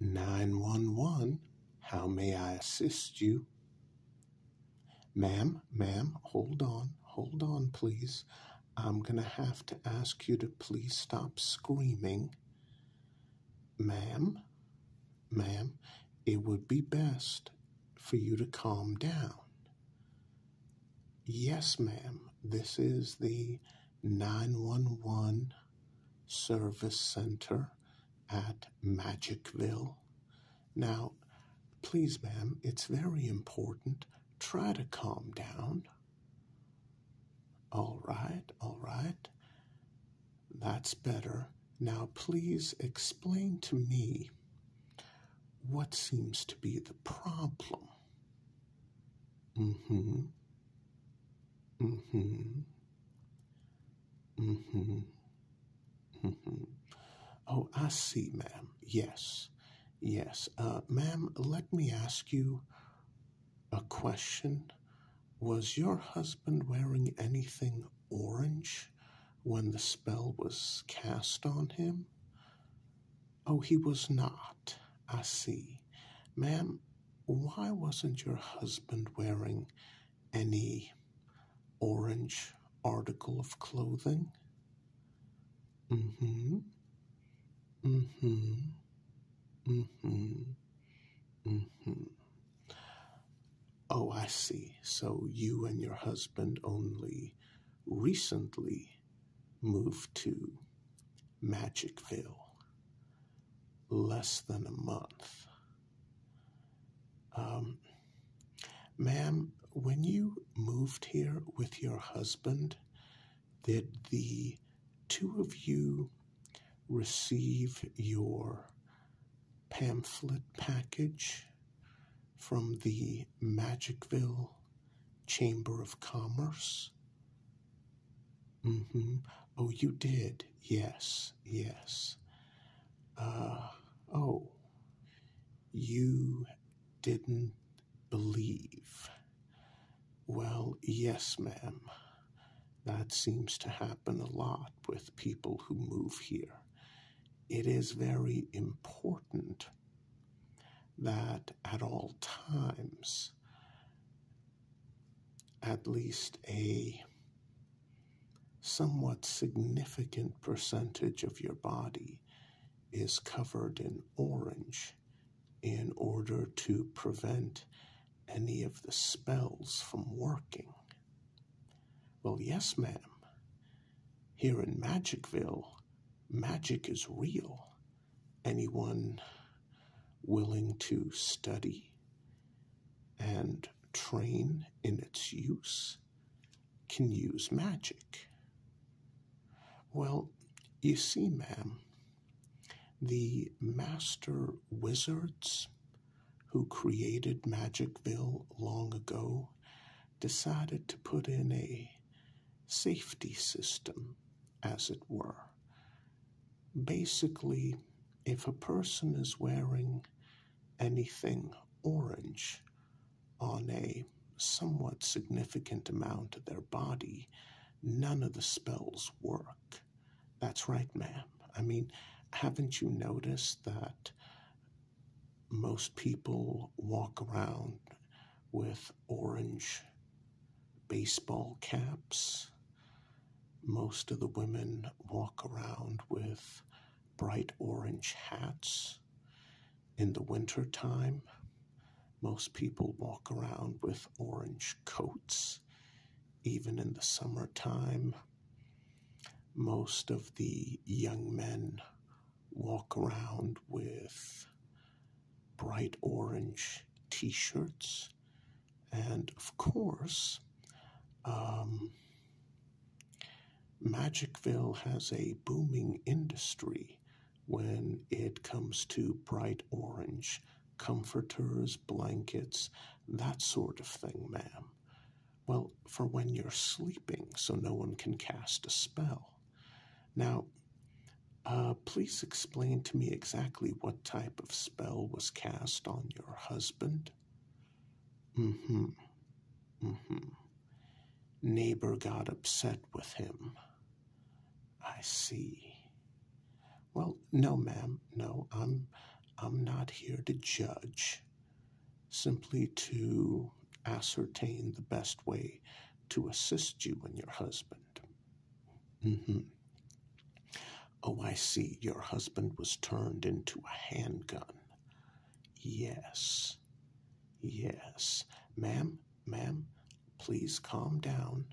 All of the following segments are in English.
911, how may I assist you? Ma'am, ma'am, hold on, hold on, please. I'm going to have to ask you to please stop screaming. Ma'am, ma'am, it would be best for you to calm down. Yes, ma'am, this is the 911 Service Center at Magicville. Now, please, ma'am, it's very important. Try to calm down. All right, all right. That's better. Now, please explain to me what seems to be the problem. Mm-hmm. Mm-hmm. Mm-hmm. Mm-hmm. Oh, I see, ma'am. Yes. Yes. Uh, ma'am, let me ask you a question. Was your husband wearing anything orange when the spell was cast on him? Oh, he was not. I see. Ma'am, why wasn't your husband wearing any orange article of clothing? Mm hmm. Mm hmm. Mm hmm. Mm hmm. Oh, I see. So you and your husband only recently moved to Magicville less than a month. Um, ma'am, when you moved here with your husband, did the two of you receive your pamphlet package from the Magicville Chamber of Commerce? hmm. Oh, you did. Yes, yes. Uh, oh, you didn't believe. Well, yes, ma'am. That seems to happen a lot with people who move here. It is very important that at all times at least a somewhat significant percentage of your body is covered in orange in order to prevent any of the spells from working. Well, yes, ma'am, here in Magicville, magic is real. Anyone willing to study and train in its use can use magic. Well, you see, ma'am, the master wizards who created Magicville long ago decided to put in a safety system, as it were. Basically, if a person is wearing anything orange on a somewhat significant amount of their body, none of the spells work. That's right, ma'am. I mean, haven't you noticed that most people walk around with orange baseball caps. Most of the women walk around with bright orange hats. In the winter time, most people walk around with orange coats. Even in the summer time, most of the young men walk around with bright orange t shirts, and of course, um, Magicville has a booming industry when it comes to bright orange comforters, blankets, that sort of thing, ma'am. Well, for when you're sleeping so no one can cast a spell. Now, uh, please explain to me exactly what type of spell was cast on your husband. Mm hmm. Mm hmm. Neighbor got upset with him. I see. Well, no, ma'am, no, I'm. I'm not here to judge simply to ascertain the best way to assist you and your husband. Mm-hmm. Oh, I see. Your husband was turned into a handgun. Yes. Yes. Ma'am, ma'am, please calm down.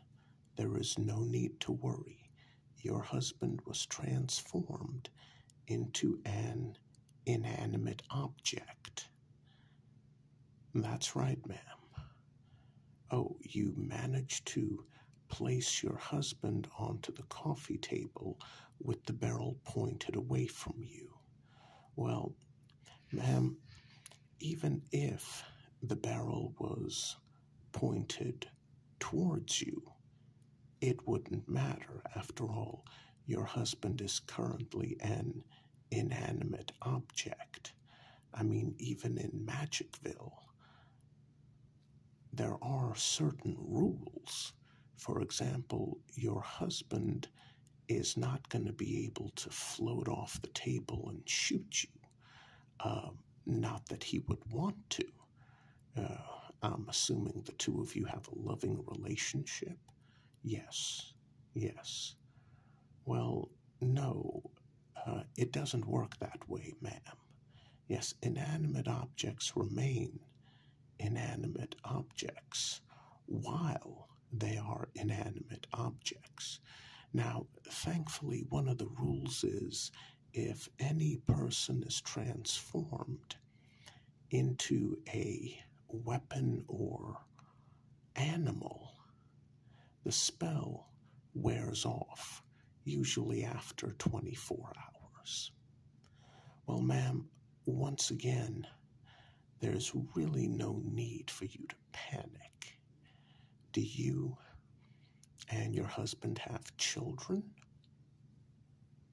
There is no need to worry. Your husband was transformed into an inanimate object. That's right, ma'am. Oh, you managed to place your husband onto the coffee table with the barrel pointed away from you. Well, ma'am, even if the barrel was pointed towards you, it wouldn't matter. After all, your husband is currently an inanimate object. I mean, even in Magicville, there are certain rules. For example, your husband is not going to be able to float off the table and shoot you. Uh, not that he would want to. Uh, I'm assuming the two of you have a loving relationship. Yes, yes. Well, no, uh, it doesn't work that way, ma'am. Yes, inanimate objects remain inanimate objects while they are inanimate objects. Now, thankfully, one of the rules is if any person is transformed, into a weapon or animal, the spell wears off, usually after 24 hours. Well, ma'am, once again, there's really no need for you to panic. Do you and your husband have children?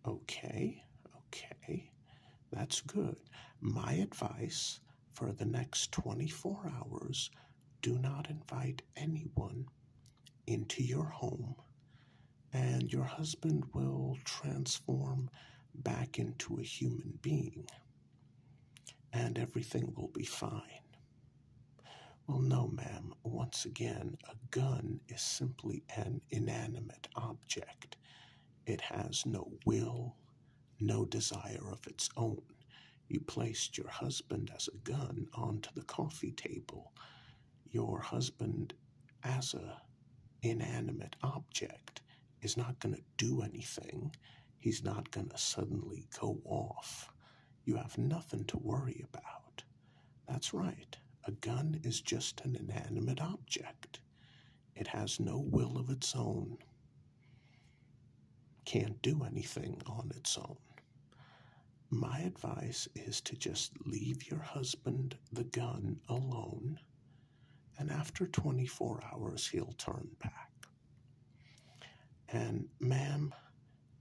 Okay, okay, that's good. My advice for the next 24 hours do not invite anyone into your home, and your husband will transform back into a human being, and everything will be fine. Well, no, ma'am, once again, a gun is simply an inanimate object object. It has no will, no desire of its own. You placed your husband as a gun onto the coffee table. Your husband as a inanimate object is not going to do anything. He's not going to suddenly go off. You have nothing to worry about. That's right. A gun is just an inanimate object. It has no will of its own, can't do anything on its own. My advice is to just leave your husband the gun alone, and after 24 hours, he'll turn back. And, ma'am,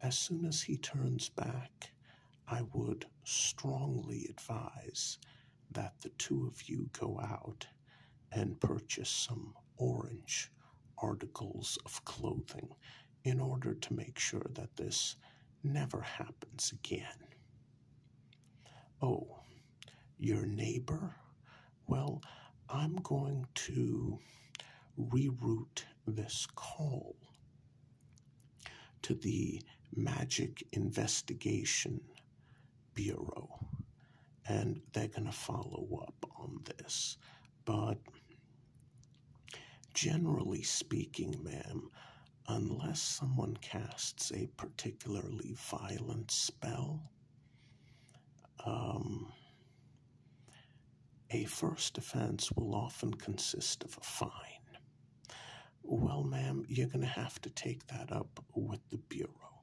as soon as he turns back, I would strongly advise that the two of you go out and purchase some orange articles of clothing in order to make sure that this never happens again. Oh, your neighbor? Well, I'm going to reroute this call to the Magic Investigation Bureau, and they're going to follow up on this. But generally speaking, ma'am, unless someone casts a particularly violent spell, um, a first offense will often consist of a fine. Well, ma'am, you're going to have to take that up with the Bureau.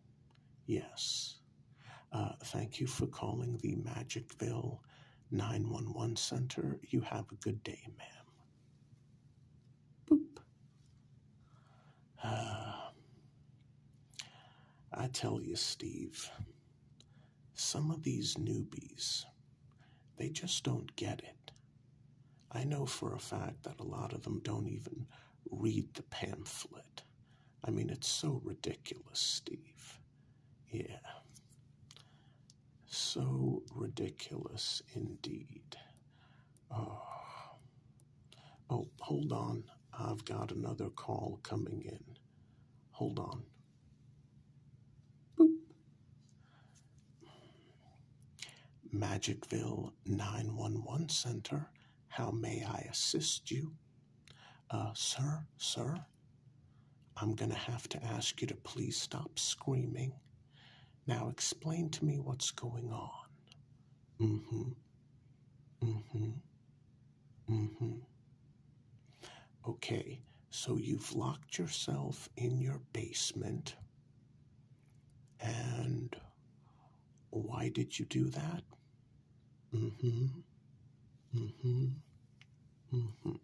Yes. Uh, thank you for calling the Magicville 911 Center. You have a good day, ma'am. Boop. Uh, I tell you, Steve, some of these newbies they just don't get it. I know for a fact that a lot of them don't even read the pamphlet. I mean, it's so ridiculous, Steve. Yeah. So ridiculous indeed. Oh. oh, hold on. I've got another call coming in. Hold on. Magicville 911 Center, how may I assist you? Uh, sir, sir, I'm going to have to ask you to please stop screaming. Now explain to me what's going on. hmm. hmm. hmm. Okay, so you've locked yourself in your basement. And why did you do that? Mm hmm. Mm hmm. Mm hmm.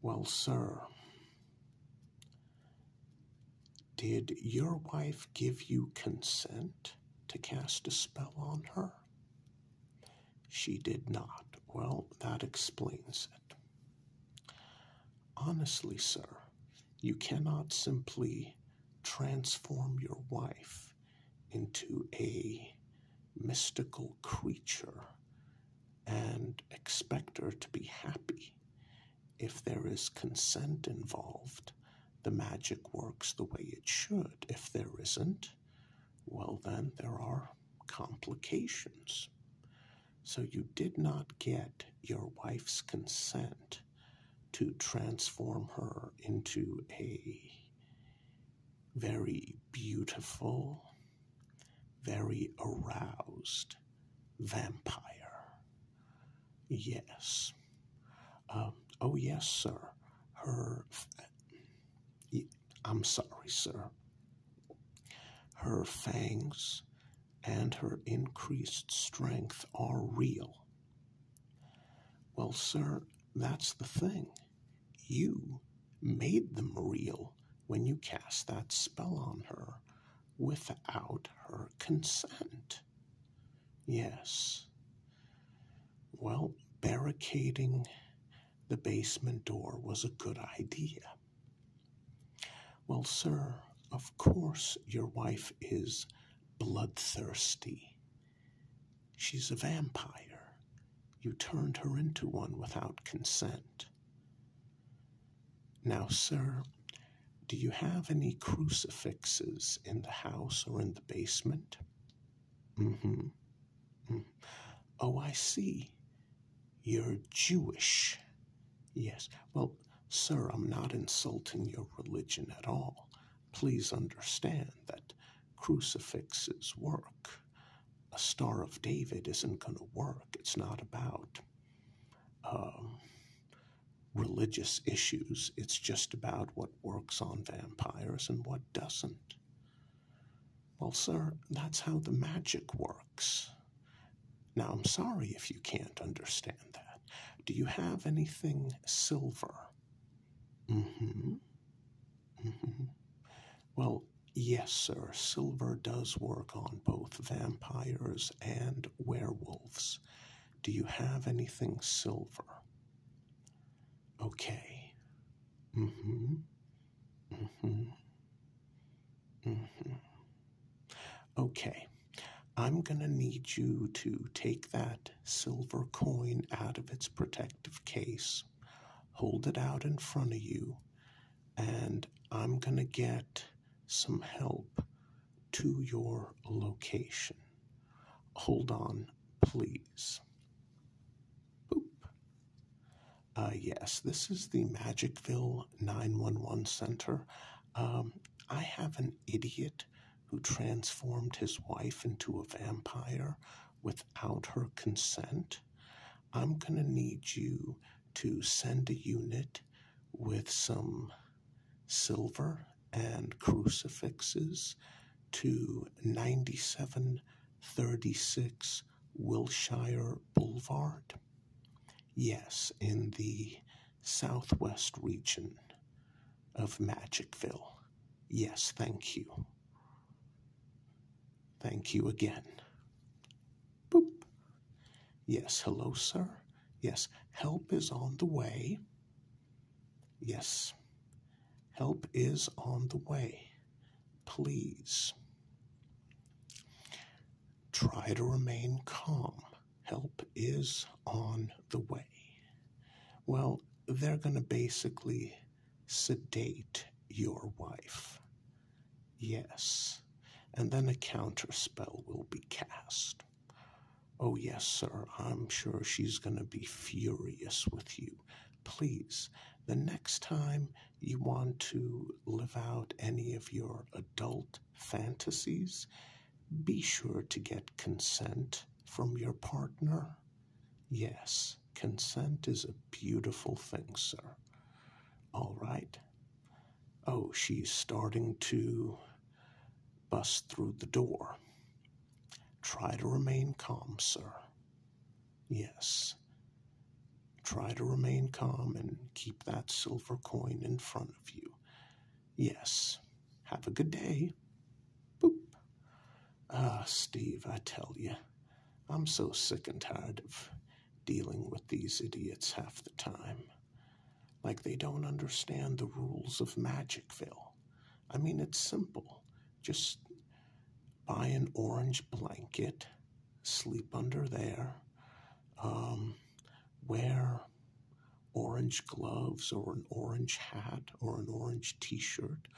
Well, sir, did your wife give you consent to cast a spell on her? She did not. Well, that explains it. Honestly, sir, you cannot simply transform your wife into a mystical creature and expect her to be happy. If there is consent involved, the magic works the way it should. If there isn't, well, then there are complications. So you did not get your wife's consent to transform her into a very beautiful, very aroused vampire. Yes, um, oh, yes, sir. Her, I'm sorry, sir. Her fangs and her increased strength are real. Well, sir, that's the thing. You made them real when you cast that spell on her without her consent. Yes. Well, barricading the basement door was a good idea. Well, sir, of course your wife is bloodthirsty. She's a vampire. You turned her into one without consent. Now, sir, do you have any crucifixes in the house or in the basement? Mm-hmm. mm-hmm. Oh, I see. You're Jewish. Yes. Well, sir, I'm not insulting your religion at all. Please understand that crucifixes work. A Star of David isn't going to work. It's not about um, religious issues. It's just about what works on vampires and what doesn't. Well, sir, that's how the magic works. Now, I'm sorry if you can't understand that. Do you have anything silver? Mm hmm. hmm. Well, yes, sir, silver does work on both vampires and werewolves. Do you have anything silver? Okay. hmm hmm hmm Okay. I'm going to need you to take that silver coin out of its protective case, hold it out in front of you, and I'm going to get some help to your location. Hold on, please. Boop. Uh, yes, this is the Magicville 911 Center. Um, I have an idiot who transformed his wife into a vampire without her consent. I'm going to need you to send a unit with some silver, and crucifixes to 9736 Wilshire Boulevard. Yes, in the southwest region of Magicville. Yes, thank you. Thank you again. Boop. Yes, hello, sir. Yes, help is on the way. Yes, help is on the way. Please. Try to remain calm. Help is on the way. Well, they're going to basically sedate your wife. Yes, and then a counter spell will be cast. Oh, yes, sir, I'm sure she's going to be furious with you. Please, the next time you want to live out any of your adult fantasies, be sure to get consent from your partner. Yes, consent is a beautiful thing, sir. All right. Oh, she's starting to bust through the door. Try to remain calm, sir. Yes. Try to remain calm and keep that silver coin in front of you. Yes. Have a good day. Boop. Ah, Steve, I tell you, I'm so sick and tired of dealing with these idiots half the time like they don't understand the rules of Magicville. I mean, it's simple. Just buy an orange blanket, sleep under there, um, wear orange gloves or an orange hat or an orange t shirt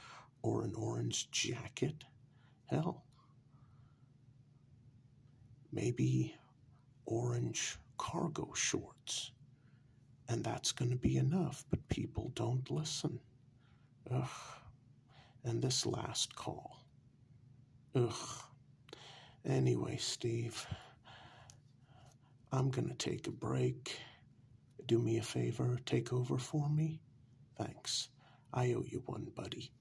or an orange jacket. Hell, maybe orange cargo shorts. And that's going to be enough, but people don't listen. Ugh. And this last call. Ugh. Anyway, Steve, I'm going to take a break. Do me a favor, take over for me. Thanks. I owe you one, buddy.